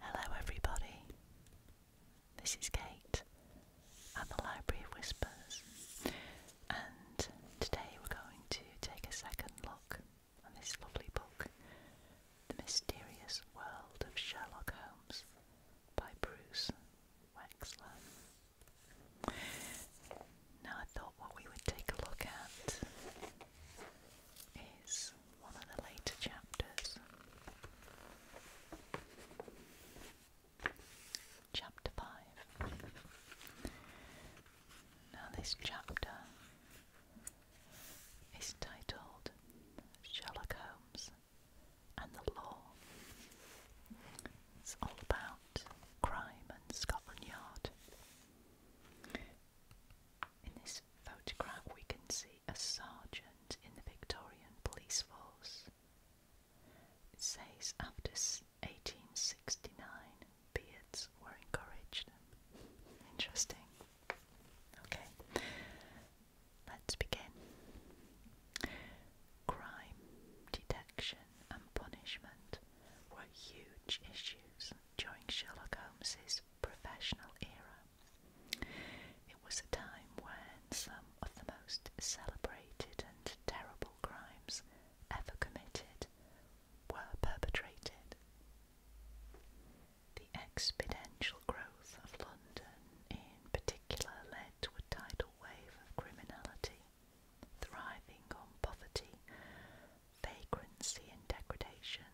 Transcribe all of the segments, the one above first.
Hello, everybody. This is Kate at the Library of Whispers, and today we're going to take a second look at this lovely book, The Mysterious World of Sherlock Holmes by Bruce Wexler. Now, I thought what we would take a look at is one of the later chapters. Chapter 5. Now, this chapter is titled Sherlock Holmes and the Law. It's all about crime and Scotland Yard. In this photograph, we can see a sergeant in the Victorian police force. It says after 1869, beards were encouraged. Interesting. Okay, let's begin. Crime, detection, and punishment were huge issues during Sherlock Holmes's professional era. It was a time when some of the most celebrated and terrible crimes ever committed were perpetrated. The exponential growth of London, in particular, led to a tidal wave of criminality, thriving on poverty, vagrancy, and degradation.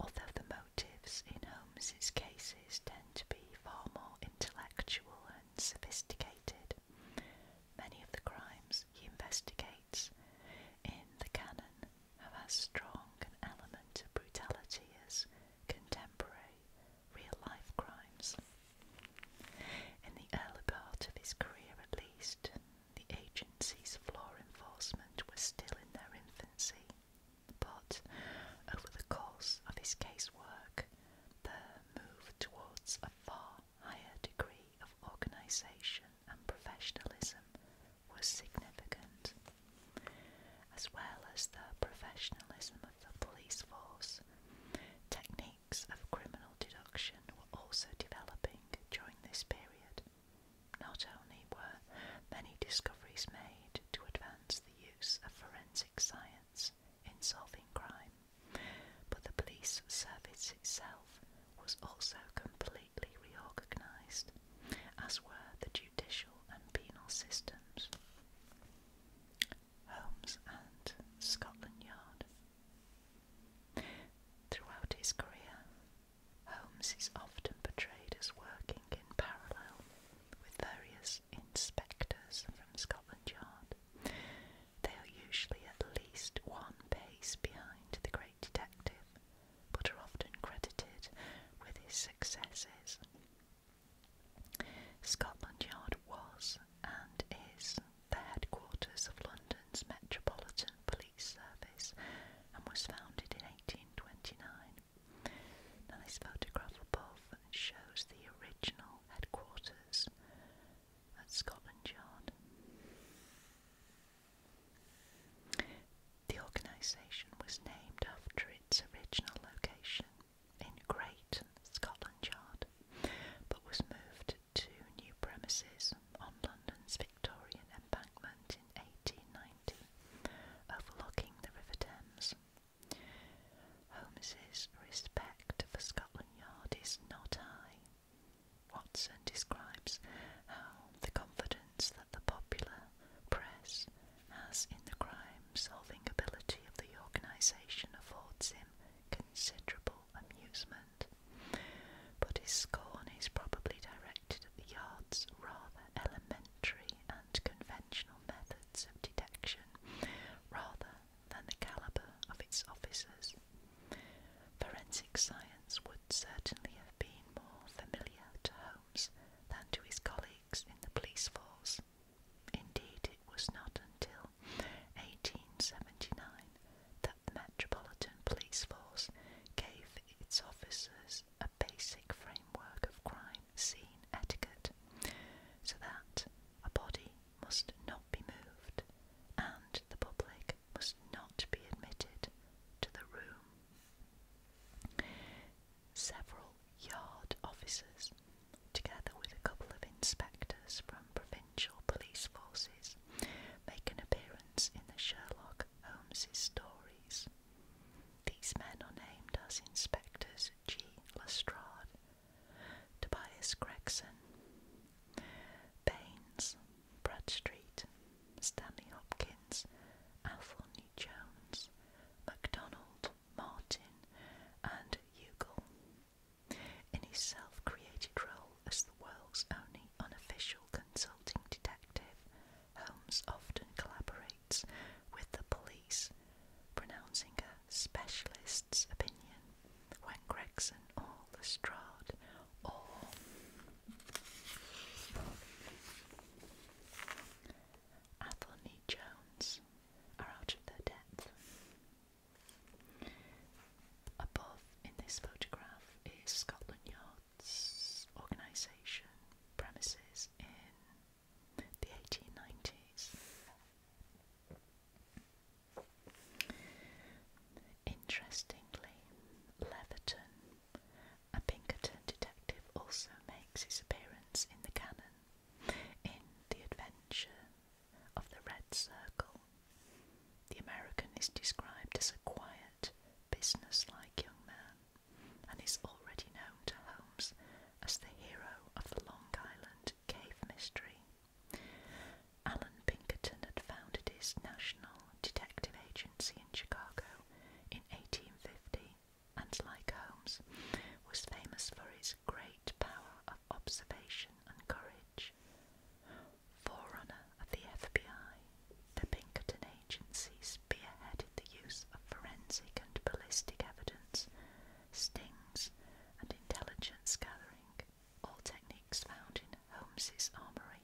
Although the motives in Holmes's cases tend to be far more intellectual and sophisticated, many of the crimes he investigates in the canon have as strong an element of brutality as contemporary real-life crimes. In the early part of his career at least, the agency's of law enforcement was still in their infancy, but over the course of his casework, the move towards a far higher degree of organisation and professionalism was significant. As well as the professionalism of the police force, techniques of criminal deduction were also developing during this period. Not only were many discoveries made to advance the use of forensic science in solving crime, but the police service itself was also completely reorganised, as were the judicial and penal systems. Holmes and Scotland Yard. Throughout his career, Holmes is often portrayed as working in parallel with various inspectors from Scotland Yard. They are usually at least one pace behind the great detective, but are often credited with his successes. Scotland Yard was and is the headquarters of London. Metropolitan Police Service and was founded in 1829. this photograph above shows the original headquarters at Scotland Yard. The organisation was named after its original location in Great Scotland Yard, but was moved two new premises on London's Victorian embankment in 1890, overlooking the River Thames. Holmes's respect for Scotland Yard is not high. Watson describes how the confidence that the popular press has in the crime-solving ability of the organisation affords him considerable amusement but his scorn is probably directed at the yard's rather elementary and conventional methods of detection rather than the calibre of its officers. Forensic science would certainly have been more familiar to Holmes than to his colleagues in the police force. Indeed, it was not until 1879 that the Metropolitan Police Force gave its officers a basic framework of crime scene etiquette, so that a body must not be moved and the public must not be admitted to the room. Several yard officers, together with a couple of inspectors from provincial Finchel police forces make an appearance in the Sherlock Holmes' stories. These men are named as Inspectors G. Lestrade, Tobias Gregson, Baines, Bradstreet, Stanley Hopkins, Athelney Jones, MacDonald, Martin, and Ugal. In his self created role as the world's only unofficial consulting detective, Holmes often collaborates with the police, pronouncing a specialist's opinion when Gregson or Lestrade or Athelney Jones are out of their depth above in this photograph is Scotland Yard's organisation premises in the 1890s. Interestingly, Leatherton, a Pinkerton detective, also makes his appearance in the canon in The Adventure of the Red Circle. The American is described as a quiet, businesslike young man and is already known to Holmes as the hero of the Long Island cave mystery. Alan Pinkerton had founded his National Detective Agency in Chicago in 1850 and, like Holmes, was famous for his great power of observation and courage. Forerunner of the FBI, the Pinkerton agency spearheaded the use of forensic and ballistic evidence, stings, and intelligence gathering, all techniques found in Holmes's armory.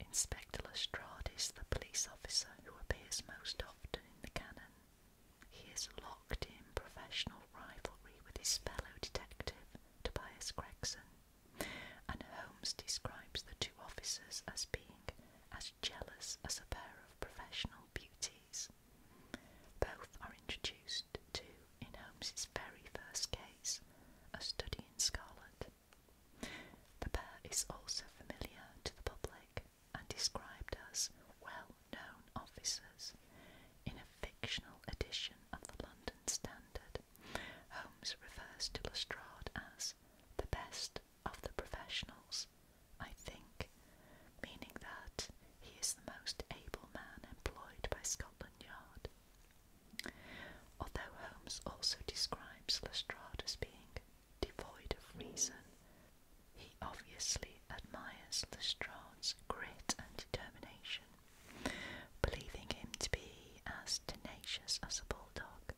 Inspector Lestrade is the police officer who appears most often in the canon. He is locked in professional rivalry with his fellow detective Tobias Gregson, and Holmes describes the two officers as being as jealous as a pair of professional beauties. Both are introduced to, in Holmes's very first case, a study in scarlet. The pair is also familiar to the public and described as well known officers. In a fictional edition of the London Standard, Holmes refers to Lestrade as the best of the professionals, I think, meaning that he is the most able man employed by Scotland Yard. Although Holmes also describes Lestrade as being devoid of reason, he obviously admires Lestrade's grit and determination believing him to be as tenacious as a bulldog.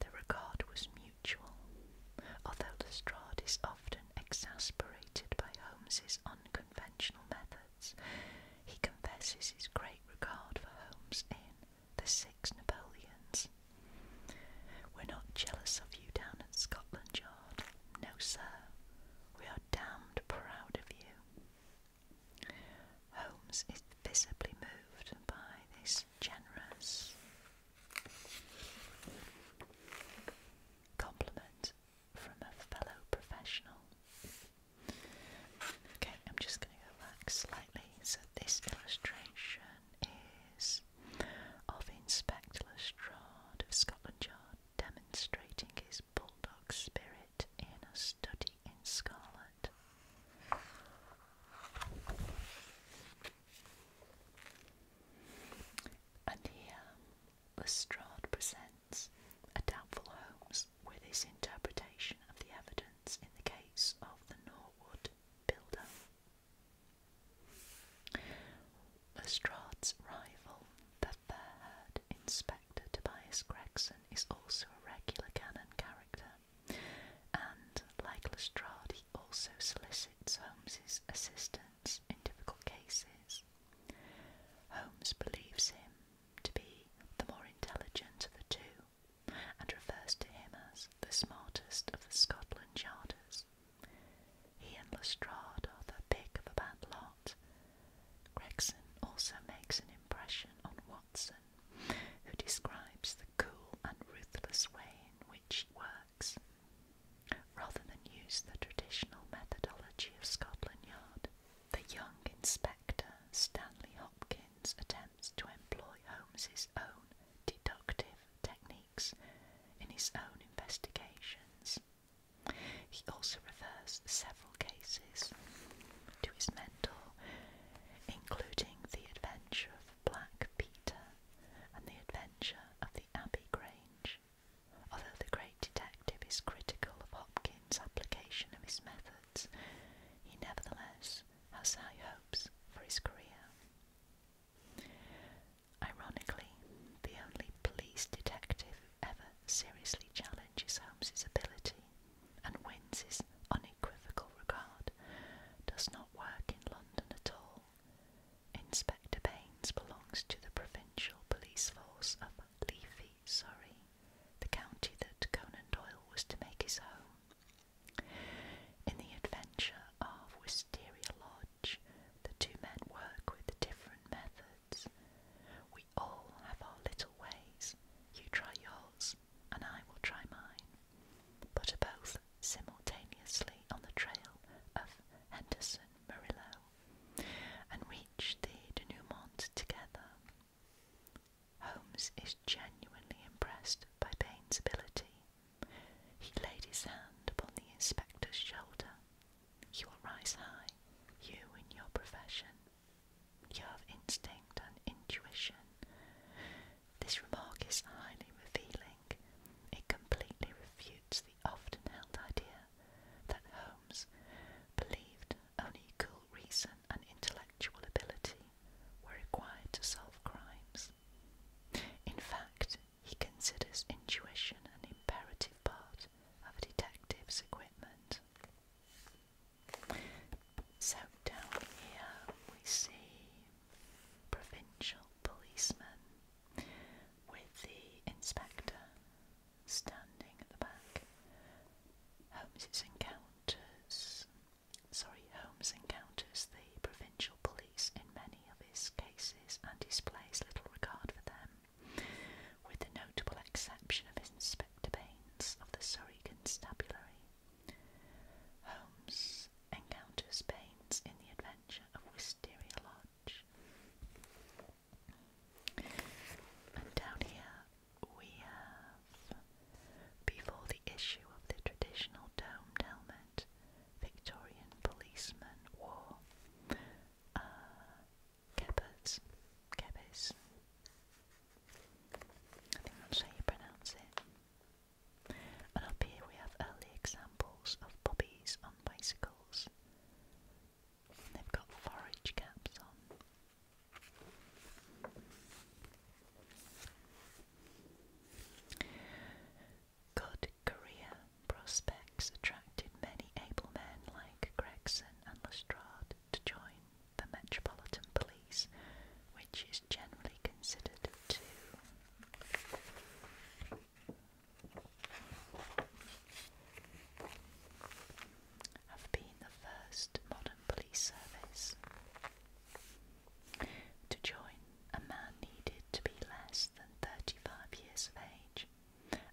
The regard was mutual, although Lestrade is often exasperated by Holmes's unconventional methods. He confesses his great regard for Holmes in The Six Napoleons. We're not jealous of you down at Scotland Yard. No, sir. We are damned proud of you. Holmes is visibly moved by this generous compliment from a fellow professional. Okay, I'm just going to go slightly. So, this illustration is of Inspector Lestrade of Scotland Yard demonstrating his bulldog spirit in a study in scarlet. And here, Lestrade presents a doubtful Holmes with his interpretation of the evidence in the case of the Norwood builder. Lestrade's rival the Inspector Tobias Gregson is also a regular canon character, and, like Lestrade, he also solicits Holmes's assistance in difficult cases. Holmes believes him to be the more intelligent of the two, and refers to him as the smartest of the Scotland Yarders. He and Lestrade are the pick of a bad lot. Gregson also makes an impression on Watson, who describes the cool and ruthless way in which he works. Rather than use the traditional methodology of Scotland Yard, the young inspector Stanley Hopkins attempts to employ Holmes's own deductive techniques in his own investigations. He also refers several cases to his mentor, including The Adventure of Black Peter and The Adventure of the Abbey Grange, although the great detective is critical of Hopkins' application of his methods. He nevertheless has high hopes for his career. Ironically, the only police detective ever seriously challenges Holmes's ability and wins his unequivocal regard does not work in London at all. Inspector Baines belongs to the provincial police force of Leafy, sorry, the county that Conan Doyle was to make his home. In the adventure of Wisteria Lodge, the two men work with different methods. We all have our little ways. You try yours, and I will try mine. But are both simultaneously on the trail of Henderson Murillo and reach the denouement together. Holmes is genuinely impressed by Payne's ability. He laid his hand upon the inspector's shoulder you will rise high, you in your profession. You have instinct and intuition. This remark is highly revealing. It completely refutes the often held idea that Holmes believed only cool reason and intellectual ability were required to solve crimes. In fact, he considers intuition an imperative part of a detective's equipment. So down here we see provincial policemen with the inspector standing at the back. Holmes encounters sorry, Holmes encounters the provincial police in many of his cases and displays little regard for them with the notable exception of Inspector Baines of the Surrey Constabulary. Holmes encounters Baines in the adventure of Wisteria Lodge. And down here we have, before the issue of the traditional domed helmet, Victorian policeman wore uh, Cabbers. Cabbers. I think that's how you pronounce it. up here we have early examples of puppies on bicycles. They've got forage caps on. Good Korea prospects attracted many able men like Gregson and Lestrade to join the Metropolitan Police, which is generally considered to have been the first modern police service. To join, a man needed to be less than 35 years of age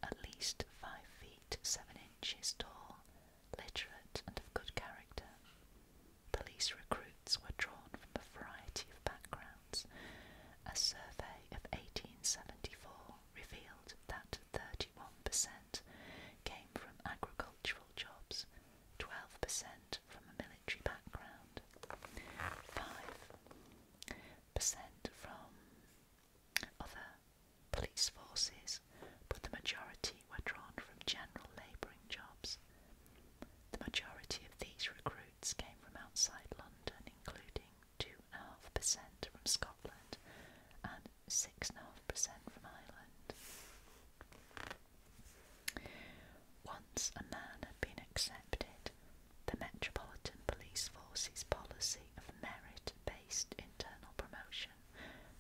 at least five feet seven inches tall, literate, and of good character. Police recruits were drawn from a variety of backgrounds. A survey of 1874 revealed that 31% came from agricultural jobs, 12% from a military background, 5% from other police forces, but the majority were drawn from general labouring jobs. The majority of these recruits came from outside London, including 2.5% from Scotland and 6.5% from Ireland. Once a man had been accepted, the Metropolitan Police Force's policy of merit based internal promotion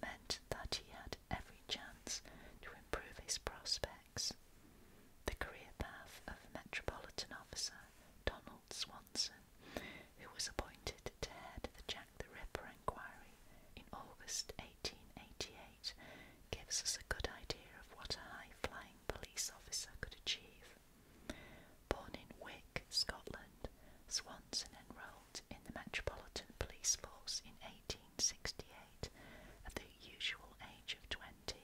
meant that he had every chance to improve his prospects. The career path of Metropolitan Officer Donald Swanson, who was appointed to head the Jack the Ripper inquiry in August 1888, gives us a good idea of what a high flying police officer could achieve. Born in Wick, Scotland, Swanson enrolled in the Metropolitan Police Force in 1868 at the usual age of 20.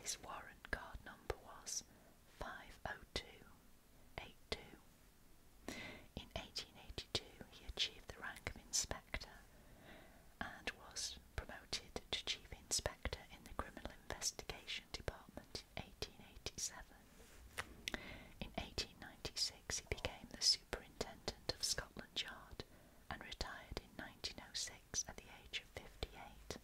His warrant card number was 50282. In 1882, he achieved the rank of inspector and was promoted to chief inspector in the Criminal Investigation Department in 1896, he became the superintendent of Scotland Yard and retired in 1906 at the age of 58.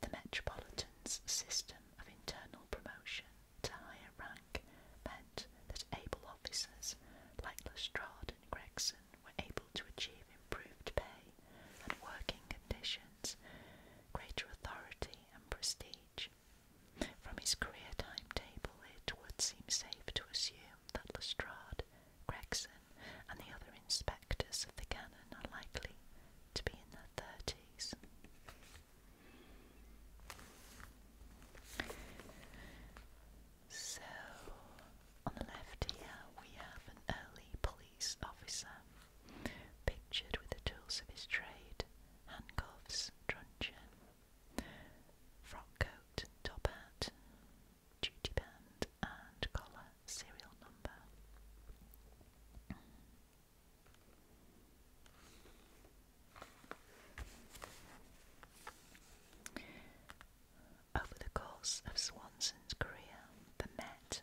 The Metropolitan's system of internal promotion to higher rank meant that able officers like Lestrade and Gregson were able to achieve improved pay and working conditions greater authority and prestige. From his career timetable, it would seem safe to assume that Lestrade, Gregson, and the other inspectors of the cannon are likely to be in their thirties. So, on the left here, we have an early police officer pictured with the tools of his trade, handcuffs, truncheon, frock coat, top hat, duty band and collar, serial number. Over the course of Swanson's career, the Met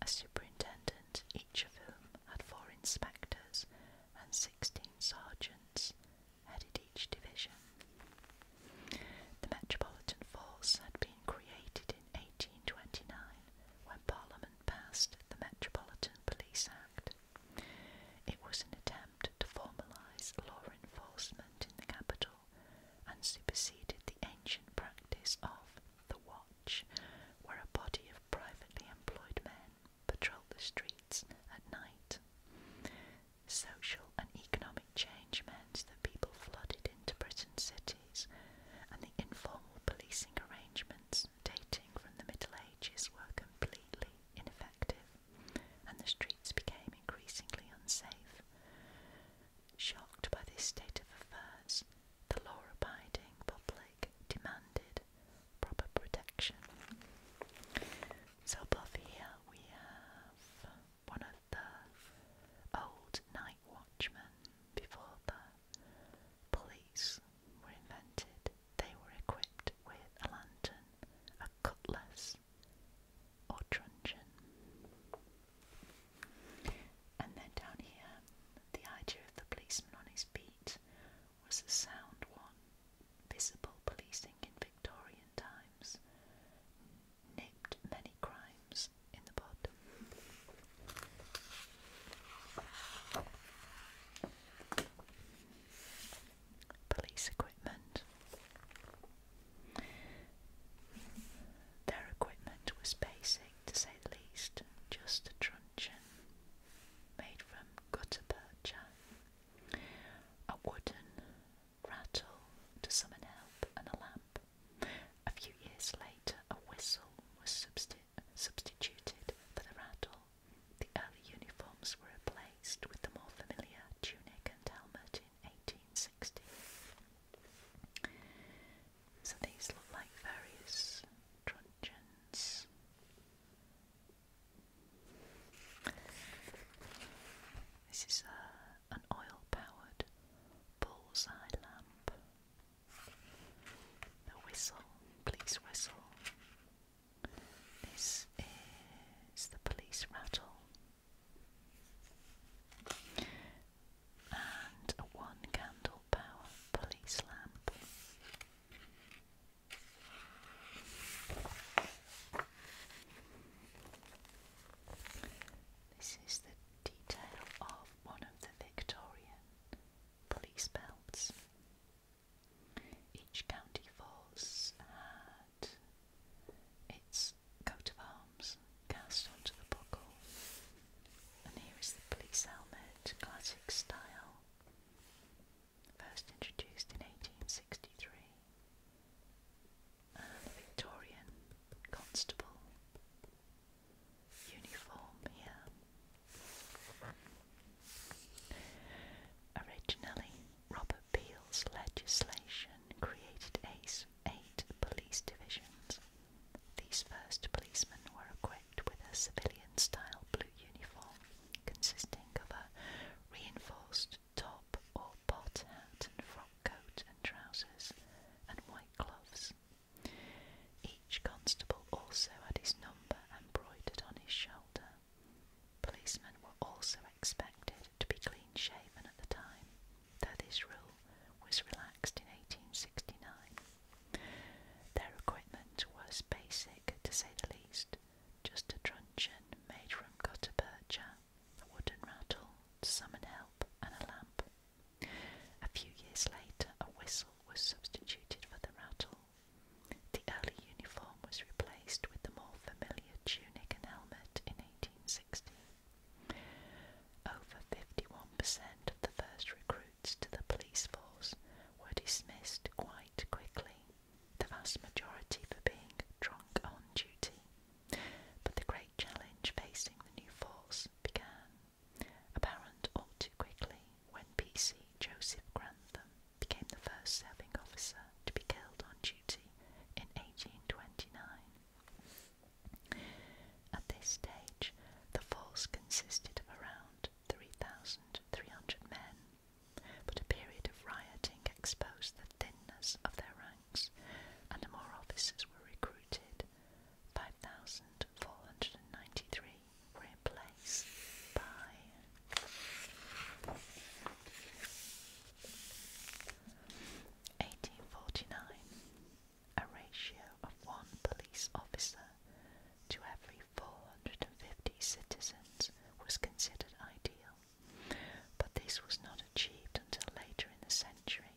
a superintendent, each of whom had four inspectors and sixteen sergeants, headed each division. The Metropolitan Force had been created in 1829 when Parliament passed the Metropolitan Police Act. It was an attempt to formalise law enforcement in the capital and superseded the ancient practice of the watch where a body of privately employed men patrolled the streets at night. Social and economic change meant that people flooded into Britain's cities, and the informal policing arrangements dating from the Middle Ages were completely ineffective, and the streets became increasingly unsafe. Shocked by this state of affairs, the law-abiding public demanded proper protection. So above here we have one of the old night watchmen before the police were invented. They were equipped with a lantern, a cutlass, or truncheon. And then down here, the idea of the policeman on his beat was a sound one. Visible policing in Victorian times nipped many crimes in the bud. Police equipment. Their equipment was basic to say the least, just a truncheon made from gutta percha, a wooden rattle to summon help, and a lamp. A few years later, a whistle was substituted for the rattle. The early uniforms were replaced with the more familiar tunic and helmet in 1860. So these look like various truncheons. This is a, uh, an oil powered bullseye lamp. The whistle, police whistle. This is the police rattle and one candle power police lamp. This is the detail of one of the Victorian police belts. Each county force had its coat of cast onto the buckle. And here is the police helmet, classic style, first introduced in 1863. Victorian constable uniform here. Originally, Robert Peel's legislation created eight police divisions these first policemen were equipped with a civilian style blue uniform consisting of a reinforced top or pot hat and frock coat and trousers and white gloves. Each constable also had his number embroidered on his shoulder. Policemen were also expected to be clean shaven at the time, though this rule was relaxed in 1869. Their equipment was basic, to say the least, just a truncheon made from gutta percha, a wooden rattle to summon help, and a lamp. A few years later, a whistle was substituted for the rattle. The early uniform was replaced with the more familiar tunic and helmet in 1860. Over 51% of the first recruits to the police force were dismissed quite quickly, the vast majority for being drunk on duty. But the great challenge facing the new force began, apparent all too quickly, when PC Joseph Grantham became the first serving officer to be killed on duty in 1829. At this stage, the force consisted of around 3,300 men, but a period of rioting exposed the thinness of their ranks, and more officers were recruited. 5,493 were in place by 1849 a ratio of one police officer to every 450 citizens was considered ideal, but this was not achieved until later in the century.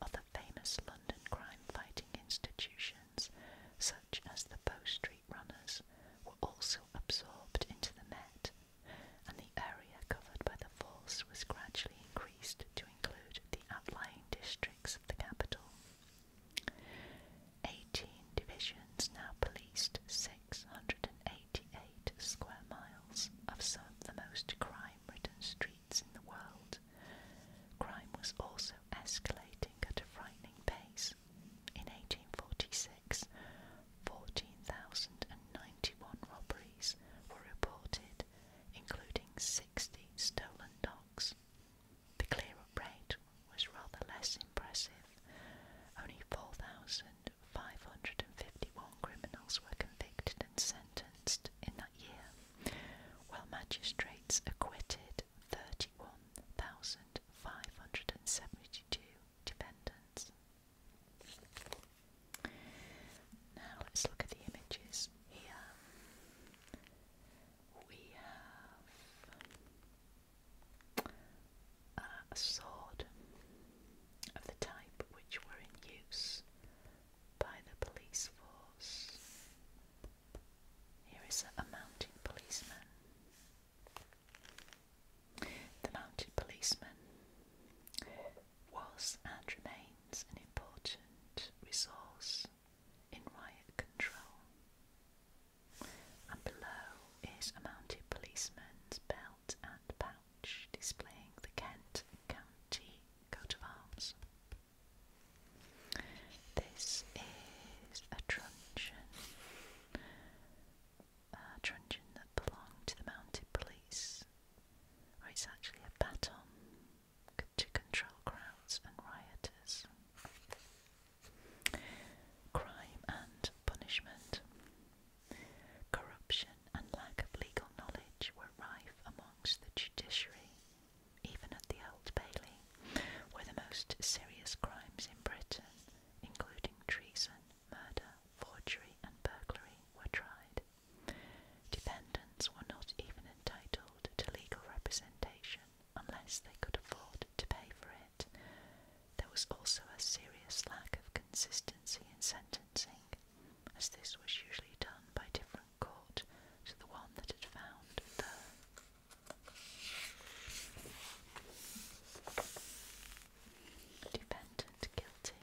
Other famous London crime fighting institutions, such as the Bow Street Runners, were also absorbed into the Met, and the area covered by the force was gradually increased to include the outlying districts of the capital. Eighteen divisions now policed 688 square miles of some of the most crime ridden streets in the world. Crime was also escalating at a frightening pace. In 1846, 14,091 robberies were reported, including 60 stolen dogs. The clear-up rate was rather less impressive. Only 4,551 criminals were convicted and sentenced in that year, while magistrates acquitted 31,572 defendants. Now let's look at the images here. We have uh, a sword of the type which were in use by the police force. Here is a mounted policeman. The mounted policeman was and remains an important resource in riot control. And below is a mounted policeman's belt and pouch displaying the Kent County coat of arms. This is a truncheon, a truncheon that belonged to the mounted police, or it's actually a baton to control crowds and rioters. Crime and punishment. Corruption and lack of legal knowledge were rife amongst the judiciary, even at the Old Bailey, where the most serious crimes in Britain, including treason, murder, forgery, and burglary, were tried. Defendants were not even entitled to legal representation unless they could afford to pay for it. There was also a serious lack of consistency in sentencing, as this was usually done by different court to the one that had found the defendant guilty.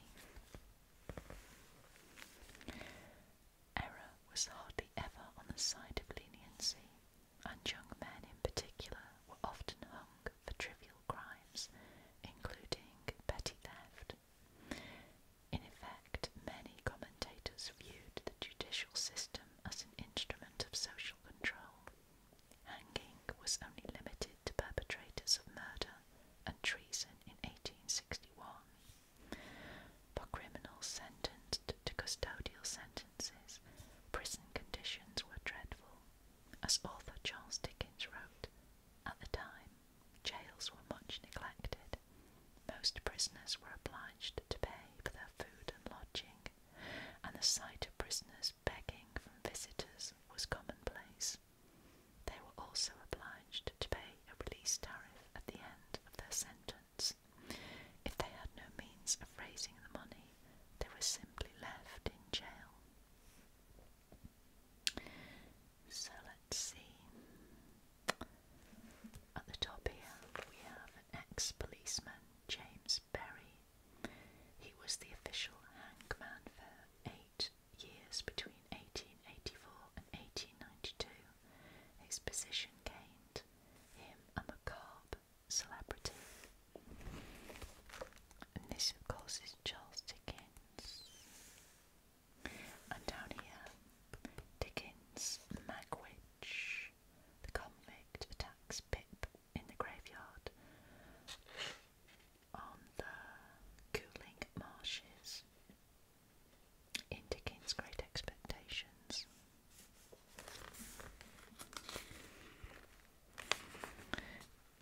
Error was hardly ever on the side of leniency, and young men in particular were often hung for trivial crimes, including petty theft. In effect, many commentators viewed the judicial system as an instrument of social control. Hanging was only limited to perpetrators of murder and treason in 1861. For criminals sentenced to custodial sentences, prison conditions were dreadful. As author Charles Dickens wrote, at the time, jails were much neglected. Most prisoners were obliged to pay for their food and lodging, and the sight of prisoners begging from visitors was commonplace. They were also obliged to pay a release tariff at the end of their sentence. If they had no means of raising the money, they were simply left in jail. So let's see. At the top here, we have an ex policeman, James Berry. He was the official hangman for eight years between 1884 and 1892, his position gained him a macabre celebrity. And this, of course, is Charles Dickens. And down here, Dickens, Magwitch, the convict, attacks Pip in the graveyard on the cooling marshes in Great Expectations.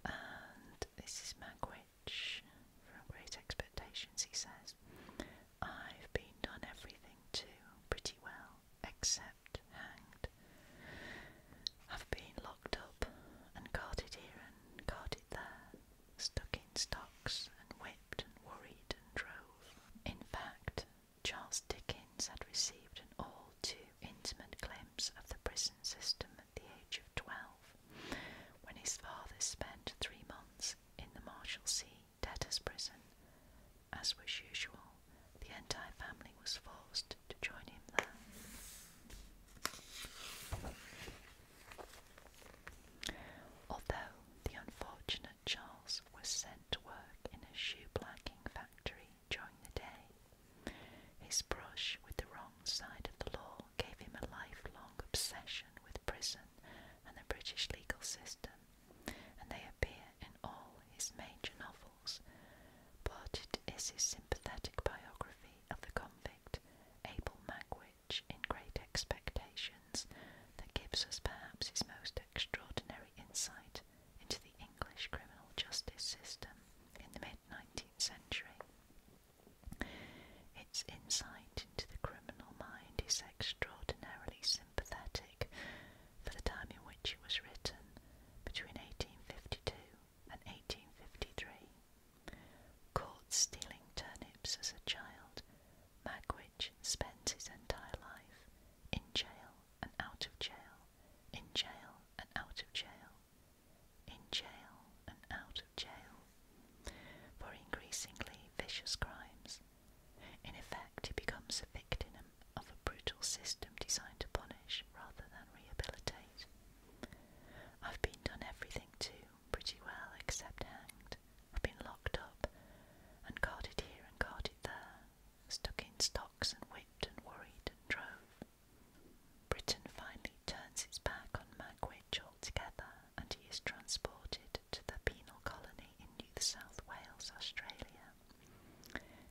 And this is Magwitch from Great Expectations. He says, I've been done everything to pretty well, except hanged. have been locked up and carted here and carted there stuck in stocks and whipped and worried and drove. In fact, Charles Dickens had received an all too intimate glimpse of the prison system at the age of twelve, when his father spent three months in the Marshalsea debtors' prison. As was usual, the entire family was forced to join him there. Although the unfortunate Charles was sent to work in a shoe blacking factory during the day, his brush with the wrong side of the law gave him a lifelong obsession with prison and the British legal system, and they appear in all his major novels. But it is his sympathetic biography of the convict Abel Magwitch in great expectations that gives us perhaps his most extraordinary insight into the English criminal justice system in the mid 19th century. Its insight into the criminal mind is extraordinarily sympathetic for the time in which it was written, between 1852 and 1853. Caught stealing turnips as a child, Magwitch spends his entire life in jail and out of jail, in jail and out of jail, in jail and out of jail, for increasingly vicious crimes. In effect, he becomes a victim of a brutal system designed to punish rather than rehabilitate. I've been done everything to pretty well, except hanged. I've been locked up and carted here and carted there, stuck in stocks and whipped and worried and drove. Britain finally turns its back on Magwitch altogether and he is transported to the penal colony in New South Wales, Australia.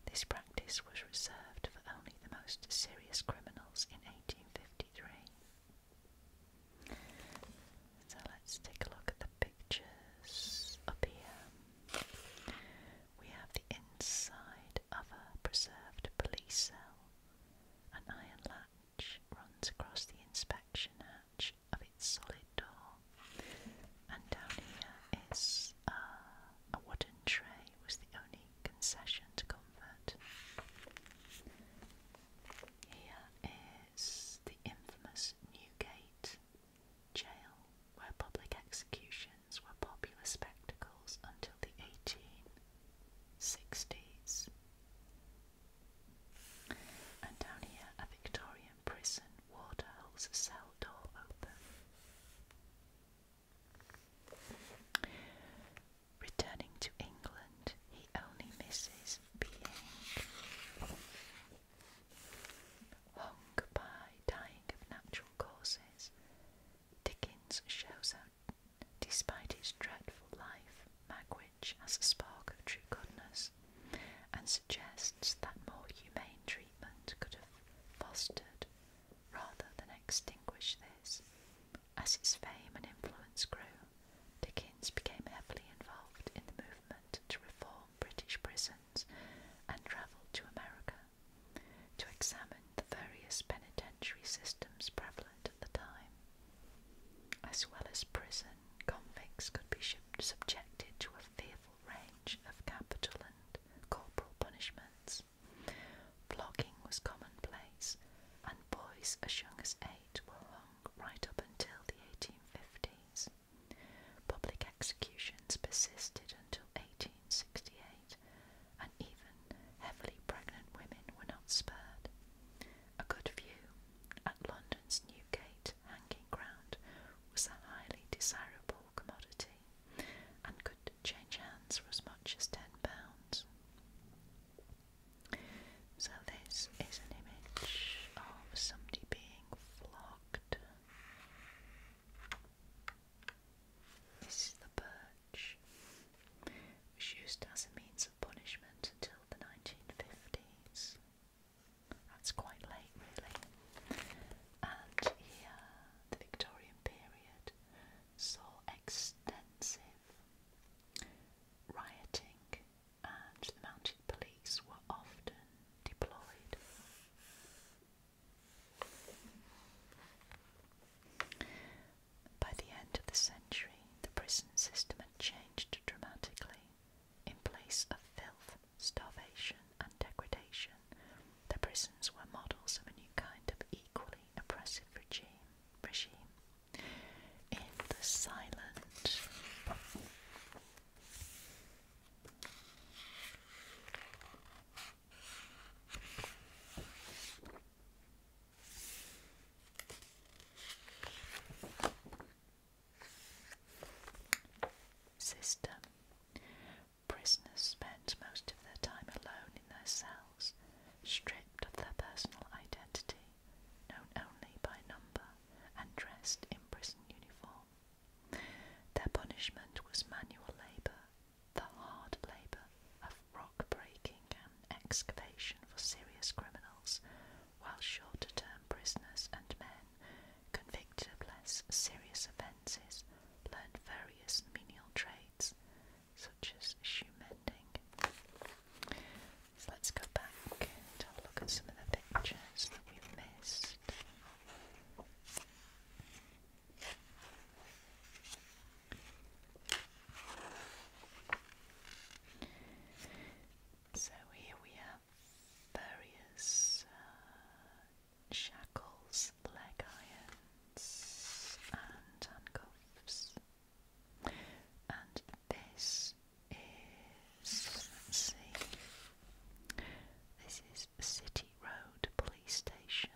This practice was reserved for only the most serious criminals in 1853. So let's take a look at the pictures up here. We have the inside of a preserved police cell. An iron latch runs across the inspection hatch of its solid door. And down here is uh, a wooden tray was the only concession to comfort. Here is the infamous Newgate Jail, where public executions were popular spectacles until the 1860s. And down here, a Victorian prison warder holds a cell door open. Returning to England, he only misses being hung by dying of natural causes. Dickens shows that, despite his dreadful life, Magwitch has a spark of true goodness and suggests that more humane treatment could have fostered rather than extinguished this. As his fame and influence grew, Dickens became heavily involved in the movement to reform British prisons and travelled to America to examine the various penitentiary systems prevalent at the time. As well as prison, convicts could be subjected to a fearful range of capital and corporal punishments. Flogging was commonplace, and boys as young as eight were hung right up until the 1850s. Public executions persisted until 1868, and even heavily pregnant women were not spared. A good view at London's Newgate hanging ground was a highly desirable commodity and could change hands for as much as £10. So, this is an image of somebody being flogged. This is the birch, which used as a means of punishment until the 1950s. That's quite late, really. And here, the Victorian period saw extensive Rioting and the mounted police were often deployed. By the end of the century, the prison system had changed dramatically. In place of filth, starvation, and degradation, the prisons were models of a new kind of equally oppressive regime. regime in the silent. System. Prisoners spent most of their time alone in their cells, stripped of their personal identity, known only by number, and dressed in prison uniform. Their punishment was manual labour, the hard labour of rock breaking and excavation for serious criminals, while shorter term prisoners and men convicted of less serious offences learned various menial trades such as Schumending. So let's go back and look at some of the pictures that we missed. So here we have various uh, shackles, leg irons, and handcuffs. And this is, let this is City Road Police Station.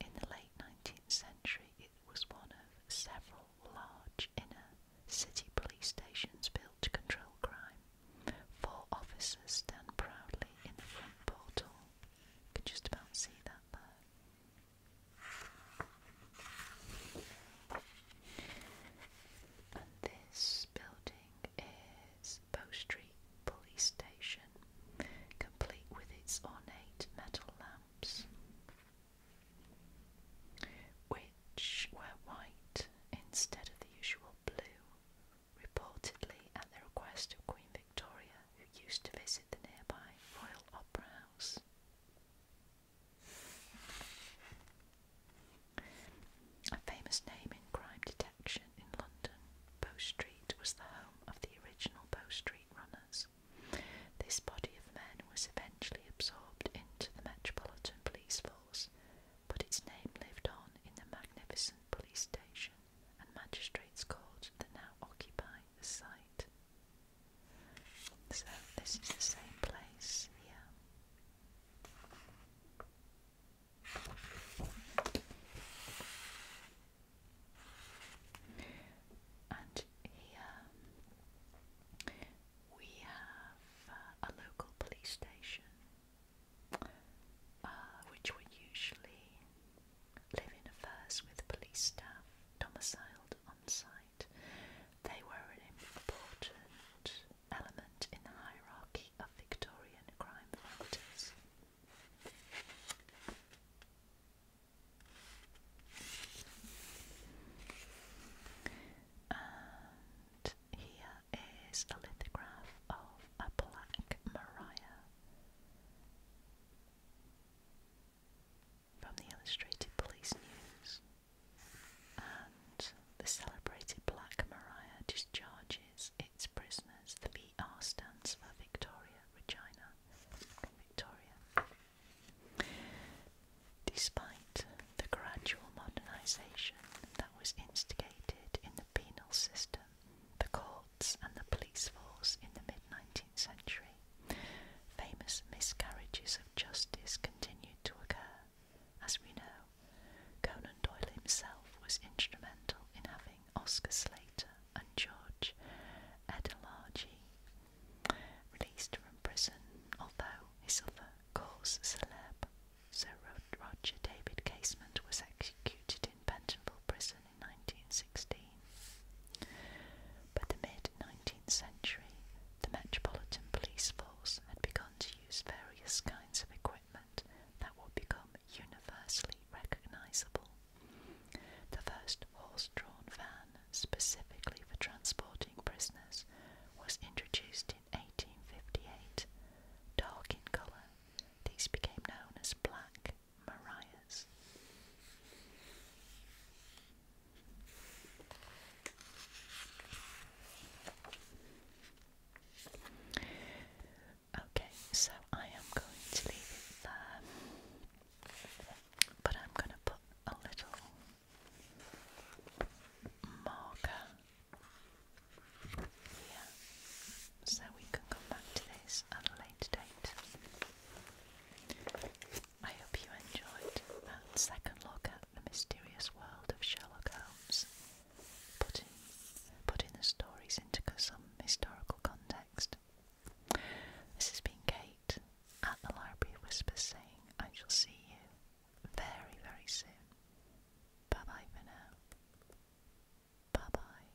In the late 19th century, it was one of several large inner city police stations built to control crime. Four officers stand proudly in the front portal. can just about see that there this building is Bow Street Police Station, complete with its ornate metal lamps, which were white instead of the usual blue, reportedly at the request of Queen Victoria. Victoria, who used to visit the nearby Royal Opera House. A famous name in crime detection in London, Bow Street was the home of the original Bow Street runners. This body of men was eventually absorbed into the Metropolitan Police Force, but its name lived on in the magnificent police station and magistrates' court that now occupy the site. So this is the same place here. And here we have uh, a local police station, uh, which we usually living affairs with police staff domiciled on site. They were an important element in the hierarchy of Victorian crime fighters. And here is a lithograph of a black Maria from the Illustrated Police News. And the celebrated Black Maria discharges its prisoners. The VR stands for Victoria Regina. Victoria. Despite the gradual modernisation that was instigated in the penal system, the cause and the police force in the mid 19th century, famous miscarriages of justice continued to occur. As we know, Conan Doyle himself was instrumental in having Oscar Slater and George Edelaji released from prison, although his other cause celeb, Sir Roger David Casement, was executed in Pentonville Prison 1916. By the mid 19th century, the Metropolitan Police Force had begun to use various kinds of equipment that would become universally recognisable. The first horse drawn van, specifically for transporting prisoners, was introduced in 1858. Dark in colour, these became known as black Mariah's. Okay, so I am going to leave it there, but I'm going to put a little marker here so we can come back to this at a later date. I hope you enjoyed that second look at the mysterious world of Sherlock Holmes, putting, the stories into some historical context. This has been Kate at the Library Whisper, saying, I shall see you very, very soon. Bye bye for now. Bye bye.